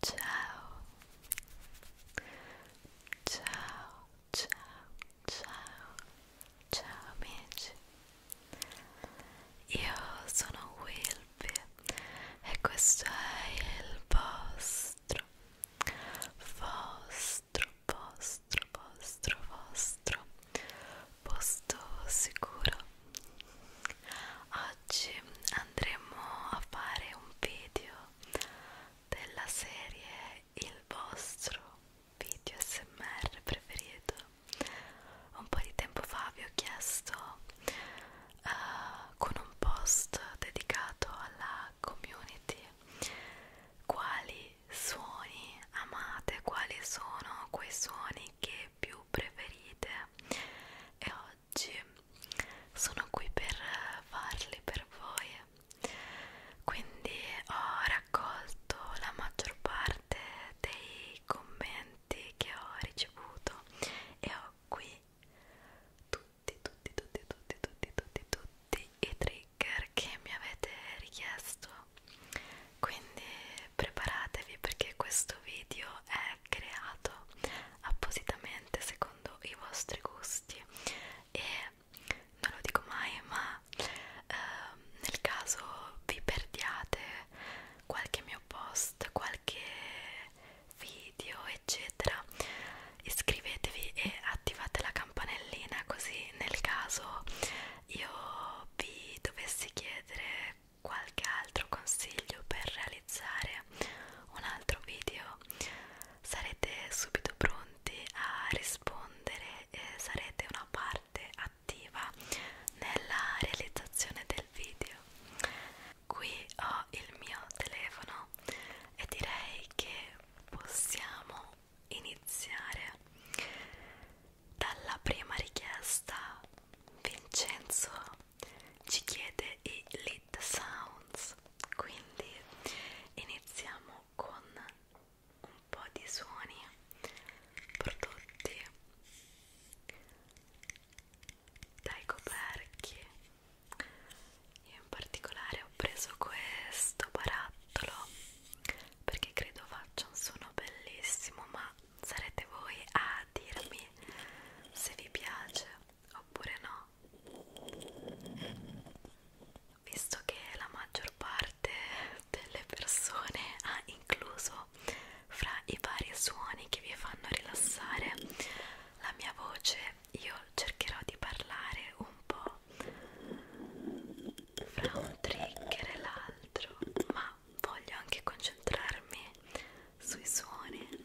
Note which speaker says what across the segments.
Speaker 1: Ciao. Ciao, ciao, ciao. Ciao amici. Io sono Wilby e questo è il vostro vostro vostro vostro vostro posto sicuro. Oggi andremo a fare un video della serie il vostro video smr preferito un po' di tempo fa vi ho chiesto uh, con un post dedicato alla community quali suoni amate quali sono quei suoni che più preferite e oggi sono qui per farli per voi quindi ho raccolto la maggior parte dei commenti che ho ricevuto e ho qui tutti tutti tutti tutti tutti tutti tutti i trigger che mi avete richiesto quindi preparatevi perché questo video è creato appositamente secondo i vostri gusti così e non lo dico mai ma ehm, nel caso vi perdiate qualche mio post qualche video eccetera iscrivetevi e attivate la campanellina così nel caso io vi dovessi chiedere qualche altro consiglio per realizzare un altro video sarete subito pronti a rispondere e sarete una parte attiva nella realizzazione del video. Qui ho il mio telefono e direi che possiamo iniziare dalla prima richiesta. Vincenzo ci chiede e Lit Sounds. Quindi iniziamo con un po' di suoni prodotti dai coperchi. Io in particolare ho preso questo barattolo perché credo faccia un suono bellissimo, ma sarete voi a dirmi se vi piace oppure no visto che la maggior parte delle persone ha incluso fra i vari suoni che vi fanno rilassare la mia voce io cercherò di parlare un po' fra un trigger e l'altro ma voglio anche concentrarmi sui suoni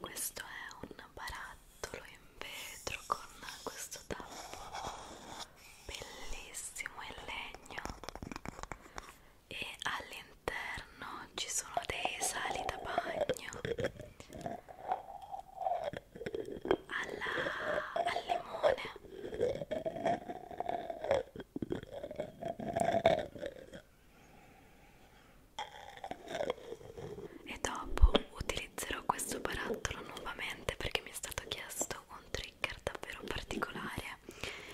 Speaker 1: Questo è un barattolo in vetro con questo tappo bellissimo in legno e all'interno ci sono dei sali da bagno alla, al limone e dopo utilizzerò questo barattolo nuovamente perché mi è stato chiesto un trigger davvero particolare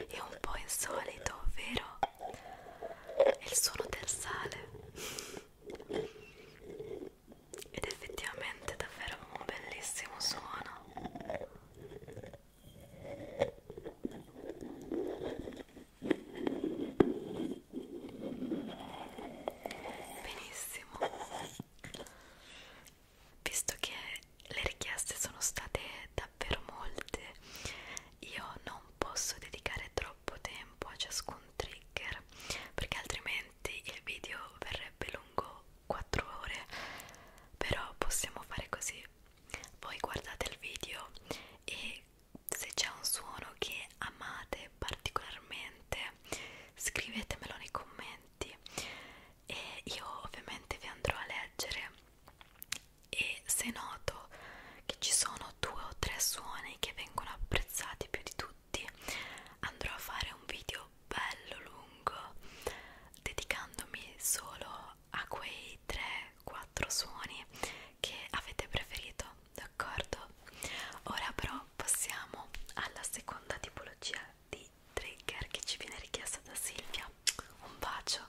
Speaker 1: e un po' insolito ovvero è il suono del sale ed effettivamente è davvero un bellissimo suono benissimo visto che le richieste sono state da davvero molte io non posso dedicare troppo tempo a ciascun trigger perché altrimenti il video verrebbe lungo 4 ore però possiamo fare così voi guardate il video e se c'è un suono che amate particolarmente scrivetemelo nei commenti e io ovviamente vi andrò a leggere e se noto che ci sono due o tre suoni che vengono apprezzati più di tutti andrò a fare un video bello lungo dedicandomi solo a quei 3-4 suoni che avete preferito d'accordo ora però passiamo alla seconda tipologia di trigger che ci viene richiesta da Silvia un bacio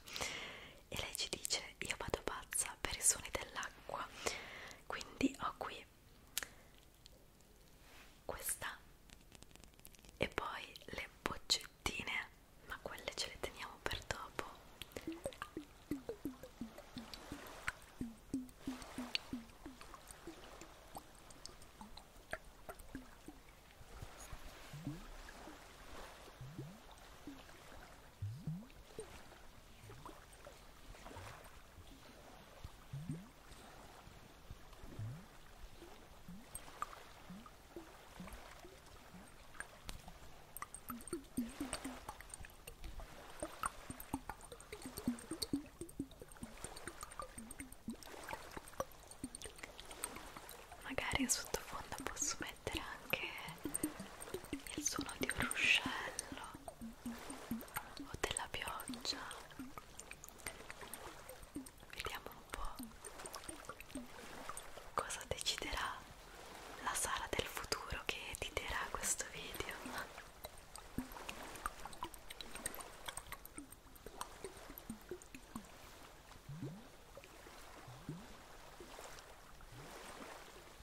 Speaker 1: e lei ci dice io vado pazza per i suoni dell'acqua quindi ho qui questa e poi le boccettine ma quelle ce le teniamo per dopo Magari in sottofondo posso mettere anche il suono di un ruscello o della pioggia vediamo un po' cosa deciderà la Sara del futuro che editerà questo video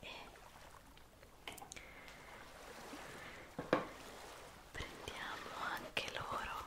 Speaker 1: e prendiamo anche loro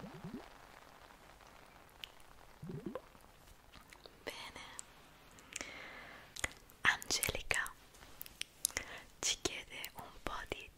Speaker 1: Bene, Angelica ci chiede un po' di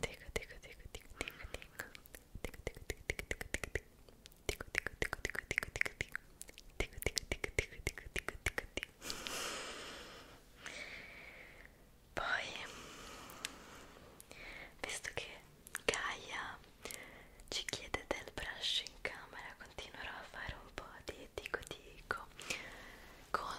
Speaker 1: Dico, dico, dico, dico, dico, dico. Dico, dico, dico, dico, dico, dico, dico. Dico, dico, dico, dico, dico, dico, dico. Dico, dico, dico, dico, dico, dico, dico, dico. Poi, visto che Gaia ci chiede del brush in camera, continuerò a fare un po' di dico dico con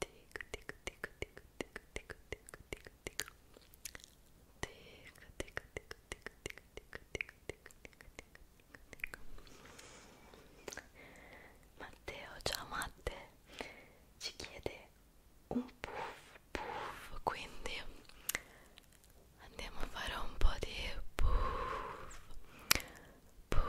Speaker 1: tic tic tic tic tic tic tic tic tic Matteo, ciao Matte, ci chiede un puff puff, quindi andiamo a fare un po' di puff puff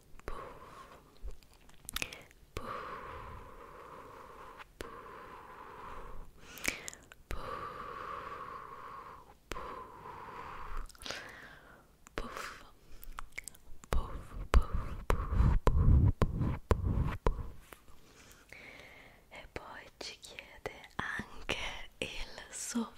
Speaker 1: e poi ci chiede anche il soffio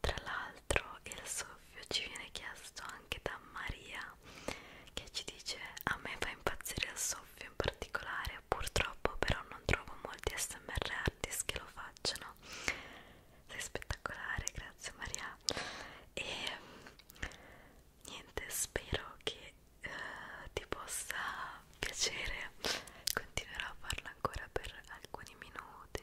Speaker 1: Tra l'altro il soffio ci viene chiesto anche da Maria che ci dice a me fa impazzire il soffio in particolare, purtroppo però non trovo molti SMR artist che lo facciano. Sei spettacolare, grazie Maria. E niente, spero che eh, ti possa piacere. Continuerò a farlo ancora per alcuni minuti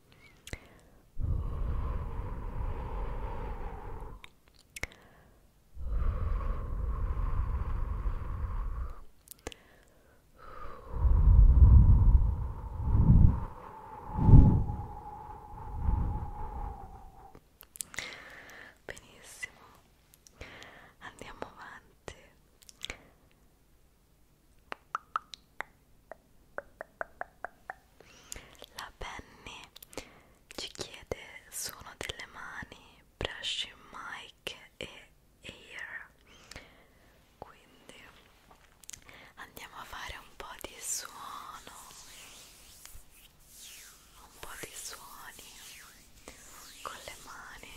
Speaker 1: Benissimo, andiamo avanti. La Penny ci chiede suono delle mani, brushing mic e air. Quindi andiamo a fare un po' di suono. Un po' di suoni con le mani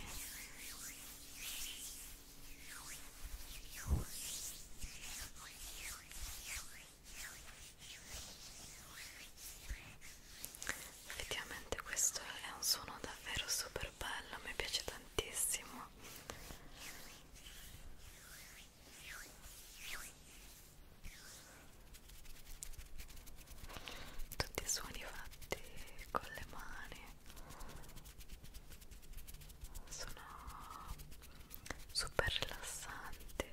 Speaker 1: effettivamente questo è un suono davvero super bello mi piace tantissimo tutti i suoni fatti con le mani sono super rilassante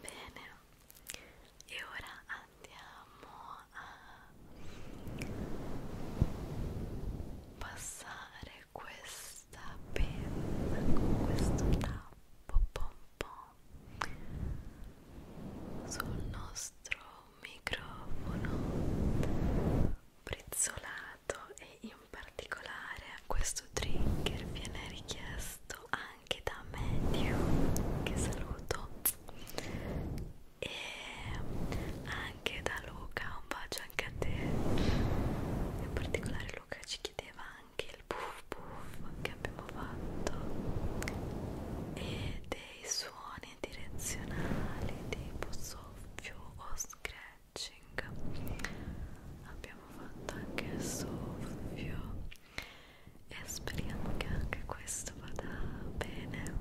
Speaker 1: Bene, e ora andiamo a passare questa penna con questo tappo pompon sul nostro microfono prezzolato usato e in particolare questo trigger viene richiesto anche da Matthew che saluto e anche da Luca, un bacio anche a te in particolare Luca ci chiedeva anche il puff puff che abbiamo fatto e dei suoni direzionali tipo soffio o scratch matching abbiamo fatto anche il soffio e speriamo che anche questo vada bene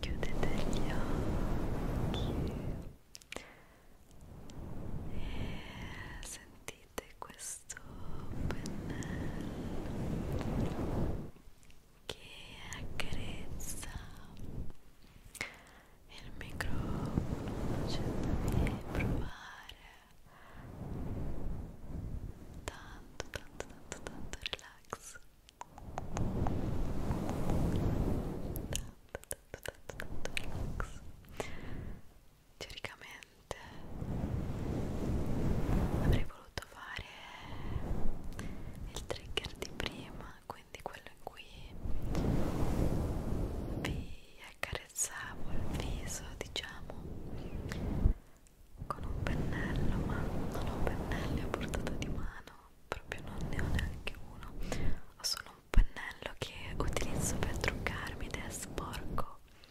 Speaker 1: chiudete gli occhi e sentite questo questo pennello che accarezza il microfono facendomi provare tanto tanto tanto tanto relax tanto tanto tanto relax teoricamente avrei voluto dovuto fare il trigger di prima quindi quello in cui vi accarezzavo il viso diciamo con un pennello ma non ho pennelli a portata di mano proprio non ne ho neanche uno ho solo un pennello che utilizzo per truccarmi ed è sporco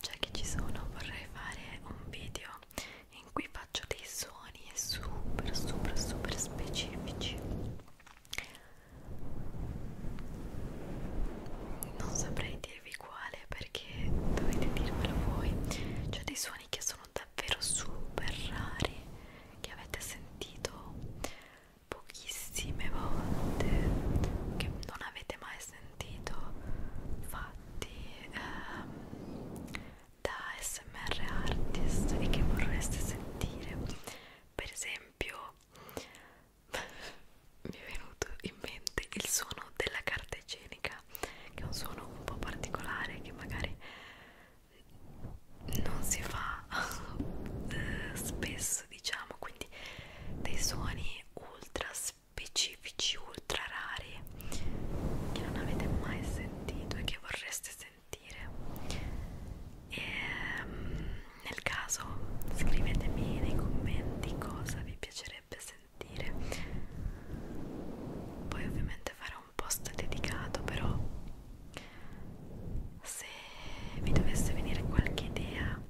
Speaker 1: già cioè che ci sono vorrei fare un video in cui faccio dei suoni super super super specifici non saprei dirvi quale perché dovete dirmelo voi cioè dei suoni che sono davvero super rari che avete sentito pochissime volte che non avete mai mai sentito fatti ehm, da smr artist e che vorreste sentire per esempio mi è venuto in mente il suono della carta igienica che è un suono un po' particolare che magari non si fa eh, spesso diciamo quindi dei suoni ultra spesso specifici ultra rari che non avete mai sentito e che vorreste sentire e, ehm, nel caso scrivetemi nei commenti cosa vi piacerebbe sentire poi ovviamente farò un post dedicato però se vi dovesse venire qualche idea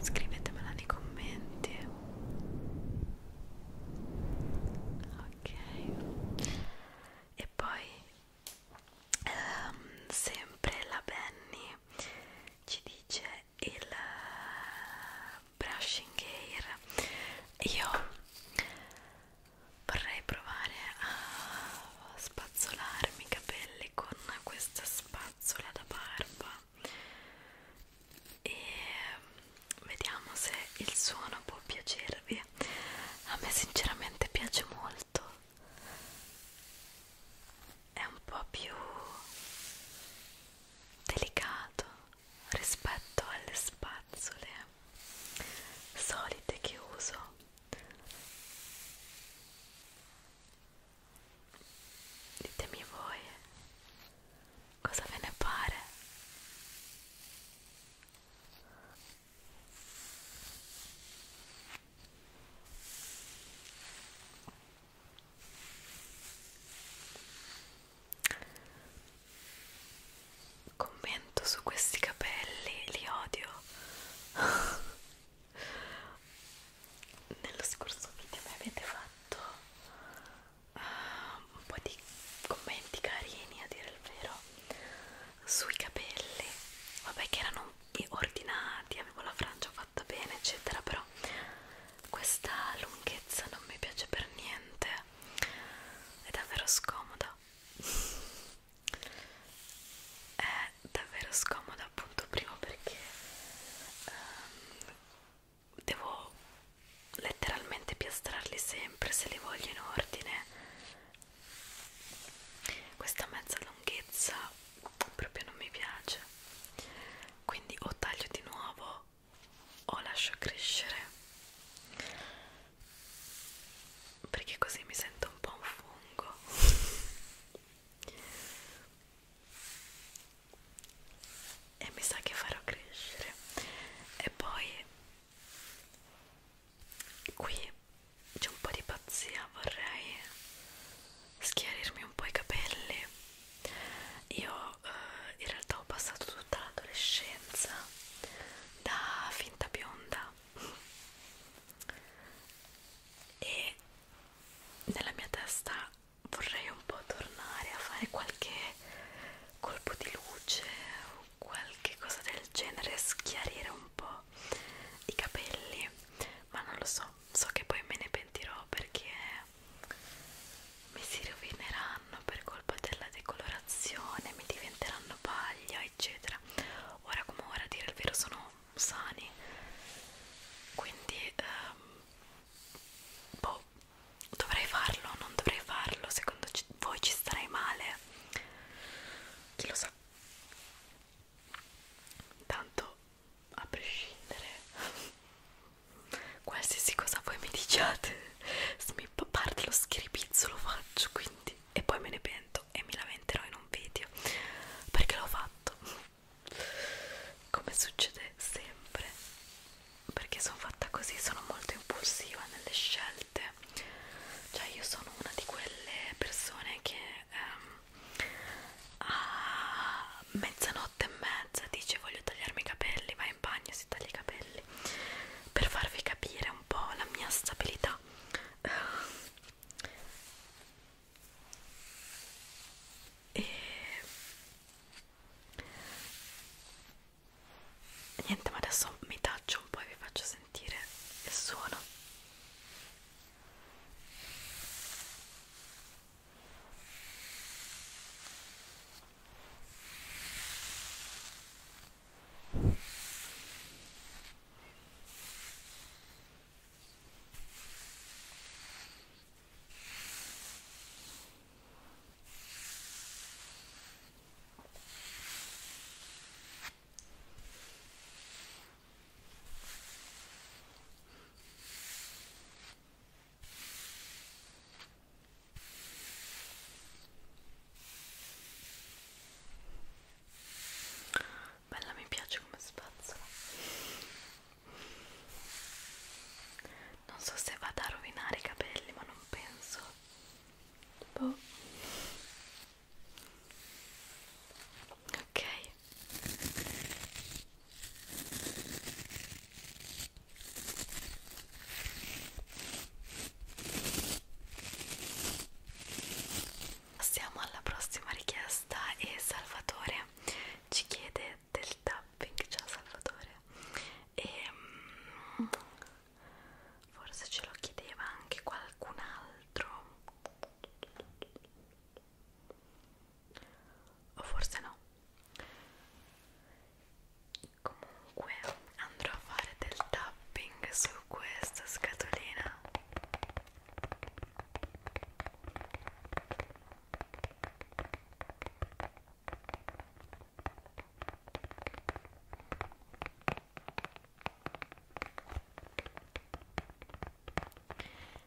Speaker 1: scrivetemela nei commenti ok e poi ehm, sempre la Benny ci dice il eh, brushing air io vorrei provare a spazzolarmi i capelli con questa spazzola da barba e mm, vediamo se il suono può piacervi a me sinceramente piace molto è un po' più delicato rispetto alle spazzole solite che uso Ditemi voi cosa ve ne pare. Commento su questi capelli, li odio. nello scorso video mi avete fatto uh, un po' di commenti carini a dire il vero sui capelli vabbè che erano ordinati avevo la frangia fatta bene eccetera però questa lunghezza non mi piace per niente è davvero scomoda eh, è davvero scomoda appunto prima perché um, devo letteralmente piastrarli sempre se li voglio in ordine questa mezza lunghezza proprio non mi piace quindi o taglio di nuovo o lascio crescere perché così mi sento un po' un fungo e mi sa che farò crescere e poi qui c'è un po' di pazzia vorrei schiarirmi un po' i capelli io eh, in realtà ho passato tutta l'adolescenza da finta bionda e nella mia testa vorrei un po' tornare a fare qualche colpo di luce o qualche cosa del genere, schiarire un po' i capelli, ma non lo so, so che poi me ne pentirò perché mi si rovineranno per colpa della decolorazione, mi diventeranno paglia, eccetera. Ora come ora a dire il vero sono sani, quindi ehm, boh, dovrei farlo, non dovrei farlo, secondo voi ci starei male? Chi lo sa? Tanto a prescindere qualsiasi cosa voi mi diciate, se mi parte lo schiripizzo lo faccio quindi e poi me ne pento e mi lamenterò in un video perché l'ho fatto come succede sempre perché sono fatta così sono molto impulsiva nelle scelte cioè io sono una di quelle persone che ehm, a mezzanotte e mezza dice voglio tagliarmi i capelli va in bagno si taglia i capelli per farvi capire un po' la mia stabilità e niente ma adesso mi taccio un po' e vi faccio sentire il suono Bella mi piace come spazzola non so se vado a rovinare i capelli ma non penso boh. ok Passiamo alla prossima richiesta e Salvatore ci chiede del tapping, ciao Salvatore e mm, forse ce lo chiedeva anche qualcun altro o forse no comunque andrò a fare del tapping su questa scatolina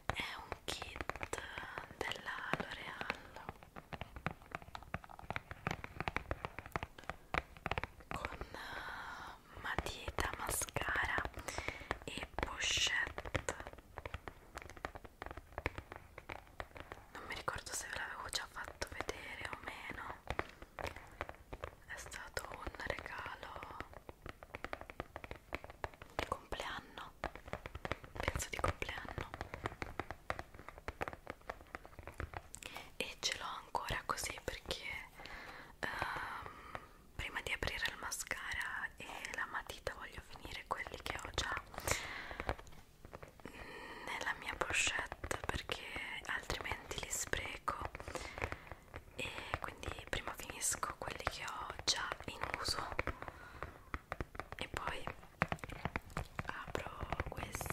Speaker 1: è un kit della L'Oreal con eh, matita, mascara e pochette non mi ricordo se ve l'avevo già fatto vedere o meno è stato un regalo di compleanno penso di compleanno e ce l'ho ancora così perché um, prima di aprire il mascara e la matita voglio voglio finire quelli che ho già nella mia pochette perché altrimenti li spreco e quindi prima finisco quelli che ho già in uso e poi apro questi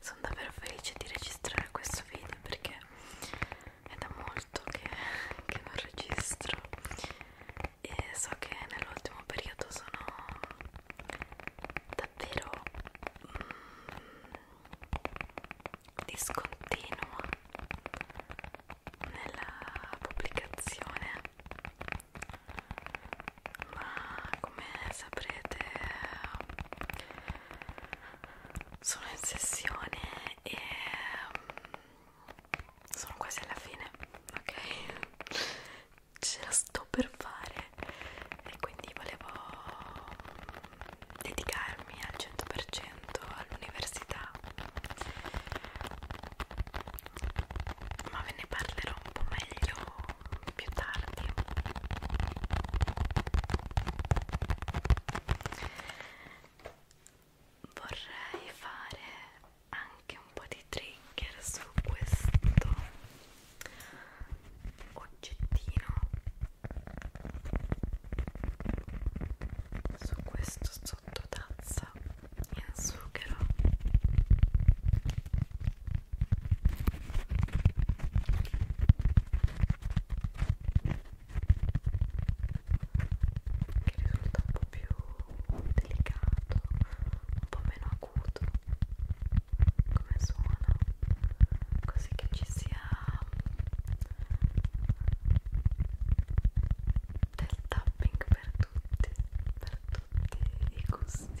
Speaker 1: Sono davvero felice di registrare questo video perché è da molto che, che non registro e so che nell'ultimo periodo sono davvero mm, discontinua nella pubblicazione ma come saprete sono in sessione e mm, sono quasi alla fine ok ce la sto per fare e quindi volevo dedicarmi al 100% all'università ma ve ne parlerò un po' meglio più tardi vorrei fare anche un po' di trigger su questo oggettino su questo sottotazza in zucchero che risulta un po' più delicato, un po' meno acuto come suona così che ci sia del tapping per tutti per tutti i gusti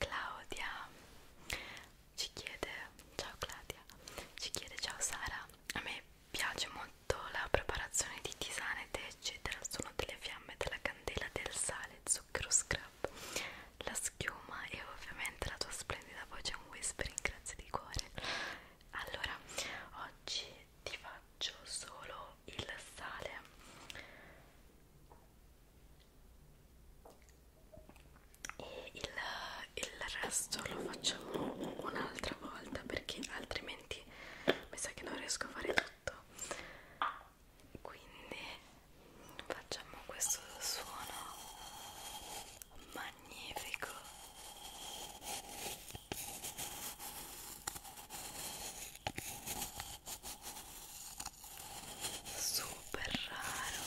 Speaker 1: Claudia ci chiede ciao Claudia, ci chiede ciao Sara, a me piace molto la preparazione di tisane, tè eccetera, sono delle fiamme della candela, del sale, zucchero scrub, la schiuma e ovviamente la tua splendida voce è un whispering, grazie di cuore. Allora, oggi ti faccio solo il sale e il, il resto lo facciamo un'altra volta perché altrimenti mi sa che non riesco a fare tutto quindi facciamo questo suono magnifico super raro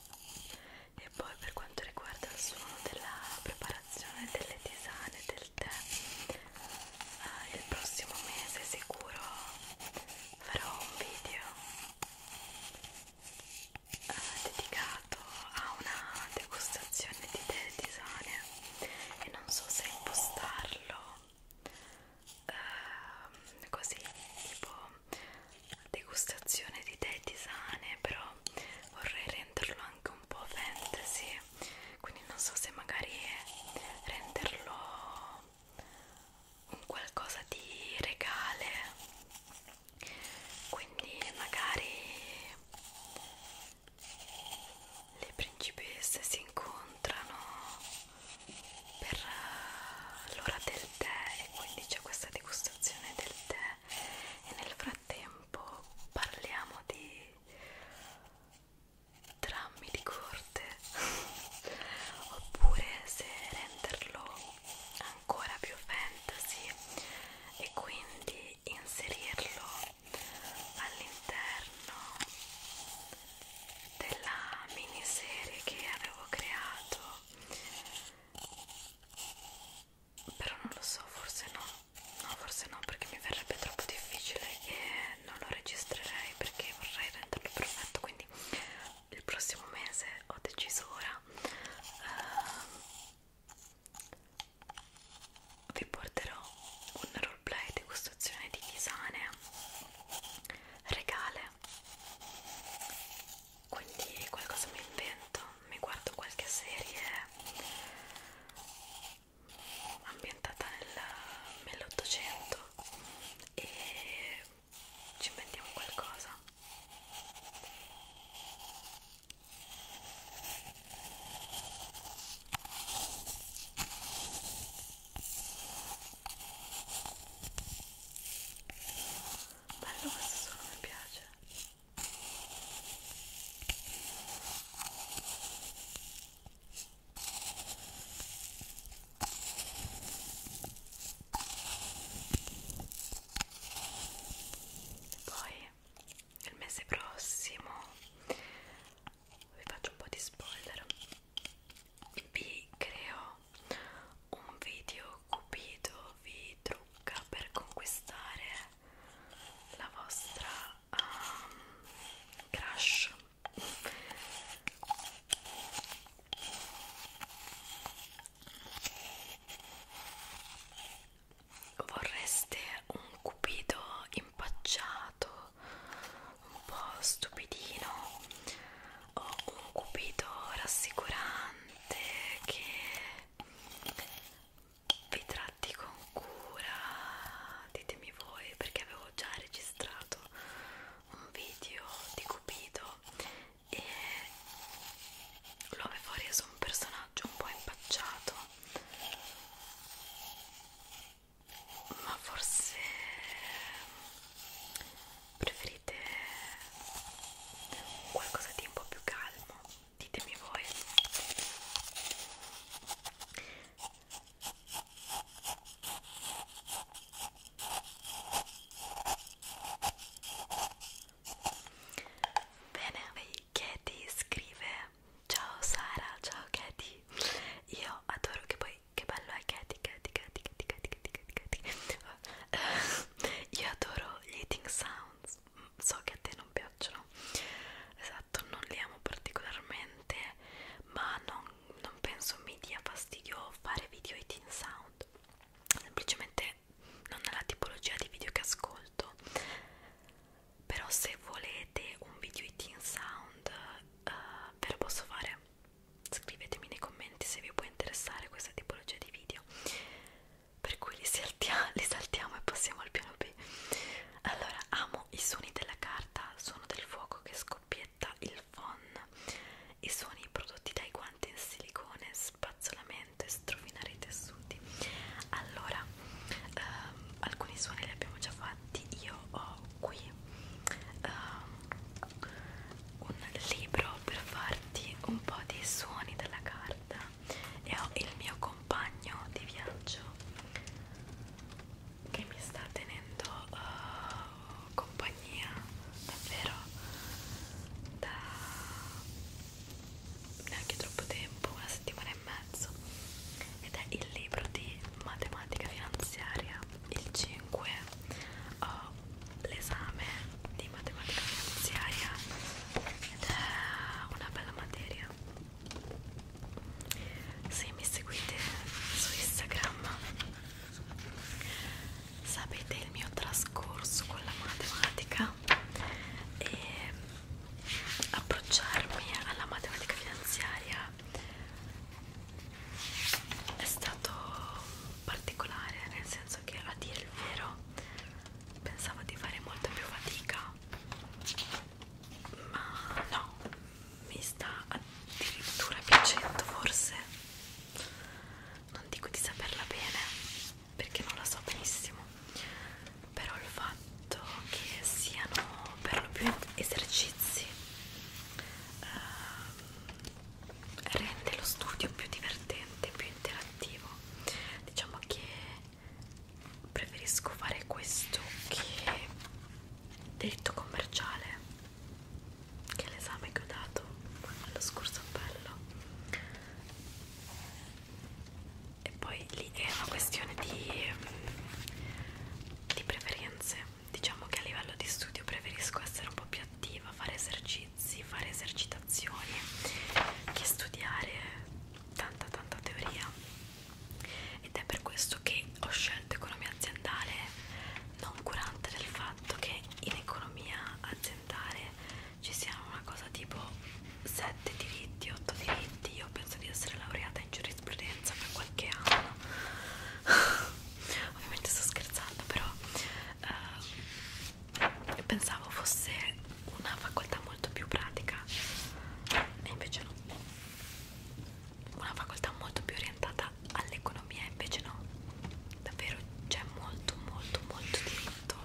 Speaker 1: e poi per quanto riguarda il suono della preparazione delle tisane del tè eh, il prossimo mese sicuro farò un video eh, dedicato a una degustazione di tè e tisane e non so se impostarlo eh, così tipo degustazione di tè di sane però vorrei renderlo anche un po' fantasy quindi non so se magari renderlo un qualcosa di regale quindi magari le principesse si incontrano per eh, l'ora del tè e quindi c'è questa degustazione del tè e nel frattempo parliamo di drammi di corte oppure se renderlo ancora più fantasy e quindi inserirlo all'interno della miniserie che avevo creato però non lo so, forse no, no forse no perché mi verrebbe troppo difficile e non lo registrerei perché vorrei renderlo perfetto quindi il prossimo mese ho deciso ora uh, vi porterò un roleplay degustazione di tisane regale quindi qualcosa mi invento, mi guardo qualche serie ambientata nell'Ottocento e ci inventiamo qualcosa. Bello questo suono mi piace. Poi il mese prossimo vi faccio un po' di spoiler vi creo un video Cupido vi trucca per conquistare la vostra um, crush vorreste un cupido impacciato un po' stupidino o un cupido rassicurante che vi tratti con cura ditemi voi perché avevo già registrato un video di Cupido e lo avevo reso un personaggio un po' impacciato ma forse preferite qualcosa di un po' più calmo ditemi voi bene Katie scrive ciao Sara ciao Katie io adoro che poi che bello è Katie Katie Katie Katie Katie Katie Katie Katie io adoro gli eating sounds so che a te non piacciono esatto non li amo particolarmente ma non, non penso mi dia fastidio fare video e teen sound semplicemente non è la tipologia di video che ascolto però se volete un video di teen sound uh, ve lo posso fare scrivetemi nei commenti se vi può interessare questa tipologia di video per cui li, saltia, li saltiamo e passiamo al piano B allora amo i suoni della carta suono del fuoco che scoppietta il phon i suoni prodotti dai guanti in silicone spazzolamento e strofinare i tessuti allora ehm, alcuni suoni li abbiamo già fatti io ho qui ehm, un libro per farti un po' di suoni della carta e ho il mio compagno di viaggio che mi sta tenendo uh, compagnia davvero da neanche troppo tempo, una settimana e mezzo ed è il libro di matematica finanziaria il 5 ho l'esame di matematica finanziaria ed è una bella materia se mi seguite su Instagram sapete il mio trascorso con la matematica e approcciarmi alla matematica finanziaria è stato particolare nel senso che a dire il vero pensavo di fare molta più fatica ma no mi sta addirittura piacendo forse non dico di saperla bene perché non la so benissimo però il fatto che siano per lo più esercizi eh, rende lo studio più divertente più interattivo diciamo che preferisco fare questo che diritto commerciale che è l'esame che ho dato allo scorso appello e poi lì è una questione di, di preferenze diciamo che a livello di studio preferisco essere un po' più attiva fare esercizi esercizi, fare esercitazioni che studiare tanta tanta teoria ed è per questo che ho scelto economia aziendale non curante del fatto che in economia aziendale ci siano una cosa tipo 7 diritti, 8 diritti io penso di essere laureata in giurisprudenza per qualche anno ovviamente sto scherzando però eh, pensavo fosse una facoltà molto più pratica e invece no una facoltà molto più orientata all'economia invece no davvero c'è molto molto molto diritto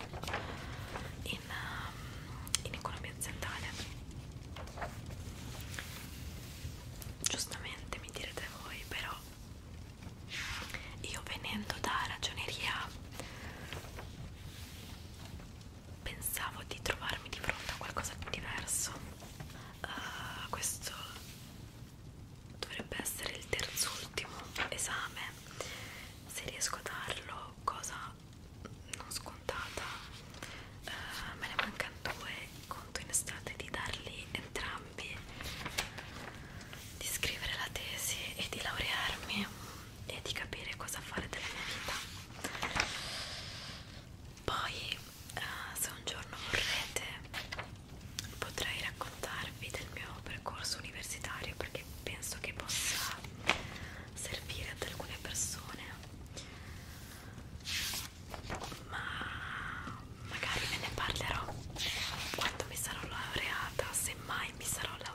Speaker 1: in, um, in economia aziendale giustamente mi direte voi però io venendo da ragioneria pensavo di trovarmi di fronte a qualcosa di diverso uh, questo dovrebbe essere il terzultimo esame se riesco a darlo cosa non scontata uh, me ne mancano due conto in estate di darli entrambi di scrivere la tesi e di laurearmi e di capire cosa fare della mia vita. Poi, uh, se un giorno vorrete, potrei raccontarvi del mio percorso universitario perché penso che possa servire ad alcune persone, ma magari ve ne parlerò quando mi sarò laureata, semmai mi sarò laureata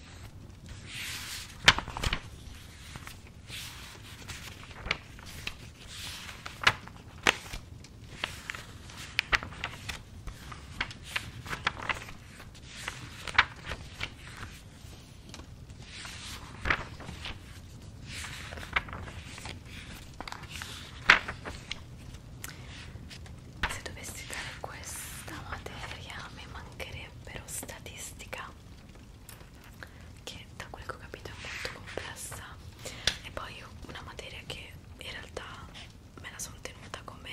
Speaker 1: Se dovessi dare questa materia mi mancherebbe però statistica che da quel che ho capito è molto complessa e poi una materia che in realtà me la sono tenuta come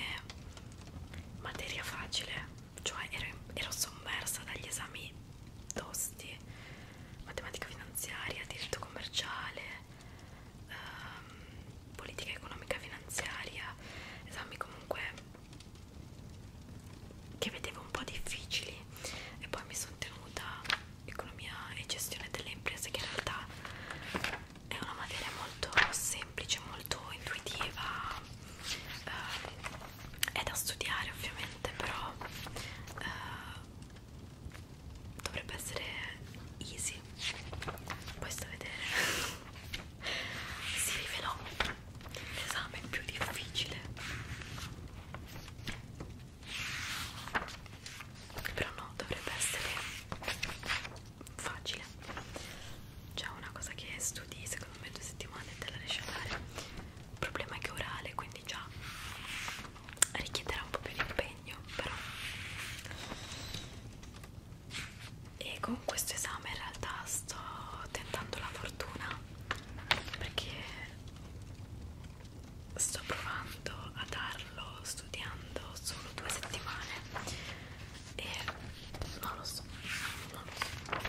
Speaker 1: materia facile cioè ero, ero sommersa dagli esami tosti matematica finanziaria, diritto commerciale ehm, politica economica finanziaria esami comunque che vedevo un po' difficili e poi mi sono tenuta economia e gestione delle imprese che in realtà è una materia molto semplice, molto intuitiva eh, è da studiare ovviamente però eh, dovrebbe essere easy poi sto a vedere si rivelò l'esame più difficile però no, dovrebbe essere facile c'è una cosa che studi secondo me due settimane e te la riesci a fare il problema è che è orale quindi già richiederà un po' più di impegno però e con questo esame in realtà sto tentando la fortuna perché sto provando a darlo studiando solo due settimane e non lo so, non lo so.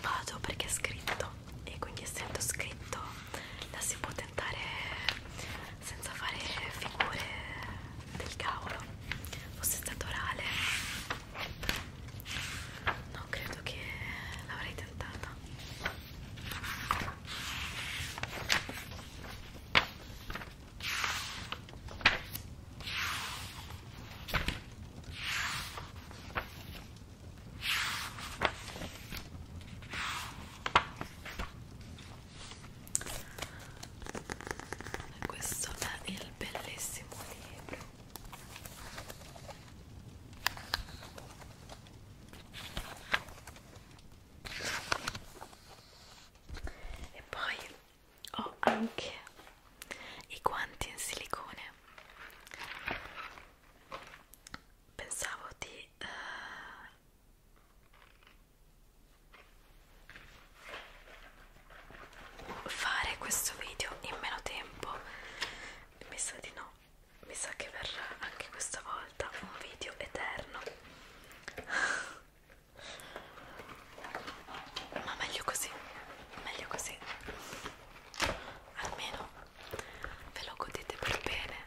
Speaker 1: vado perché è scritto e quindi essendo scritto la si può tentare senza fare figure del cavolo fosse stato orale non credo che l'avrei tentata questo è il bellissimo libro e poi ho anche i guanti in silicone pensavo di uh, fare questo video in meno tempo mi sa di no mi sa che verrà anche questa volta un video eterno ma meglio così meglio così almeno ve lo godete per bene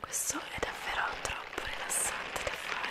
Speaker 1: Questo è davvero troppo rilassante da fare.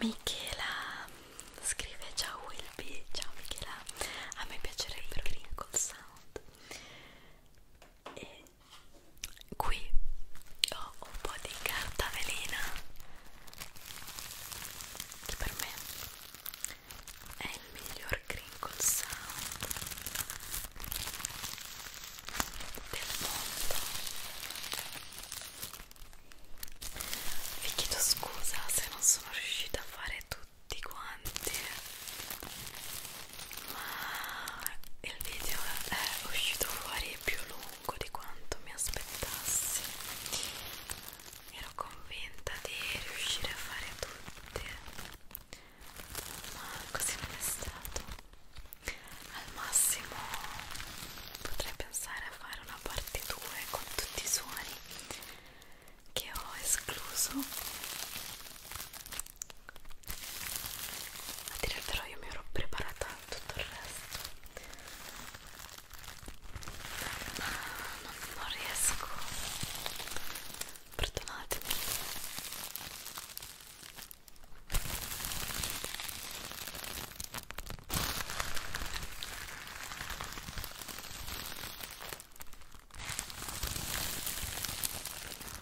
Speaker 1: Michela scrive ciao Wilby, ciao Michela, a me piacerebbe il crinkle sound e qui ho un po' di carta velina che per me è il miglior crinkle sound del mondo vi chiedo scusa se non sono riuscita a fare tutti quanti ma il video è uscito fuori più lungo di quanto mi aspettassi ero convinta di riuscire a fare tutti ma così non è stato al massimo potrei pensare a fare una parte 2 con tutti i suoni che ho escluso a dire però io mi ero preparata a tutto il resto ma non, non riesco perdonatemi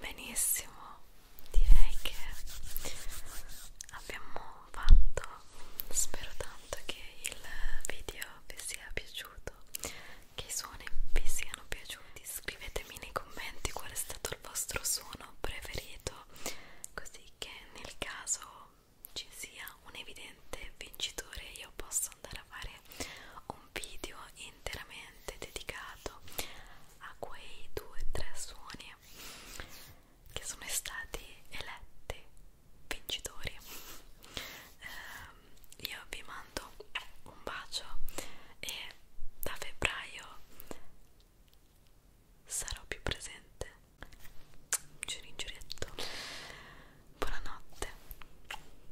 Speaker 1: Benissimo, direi che abbiamo fatto, spero tanto che il video vi sia piaciuto, che i suoni vi siano piaciuti, scrivetemi nei commenti qual è stato il vostro suono preferito, così che nel caso ci sia un evidente vincitore io posso andare a fare un un video interamente dedicato a quei due o tre suoni che sono stati eletti vincitori eh, io vi mando un bacio e da febbraio sarò più presente giuri in giurietto buonanotte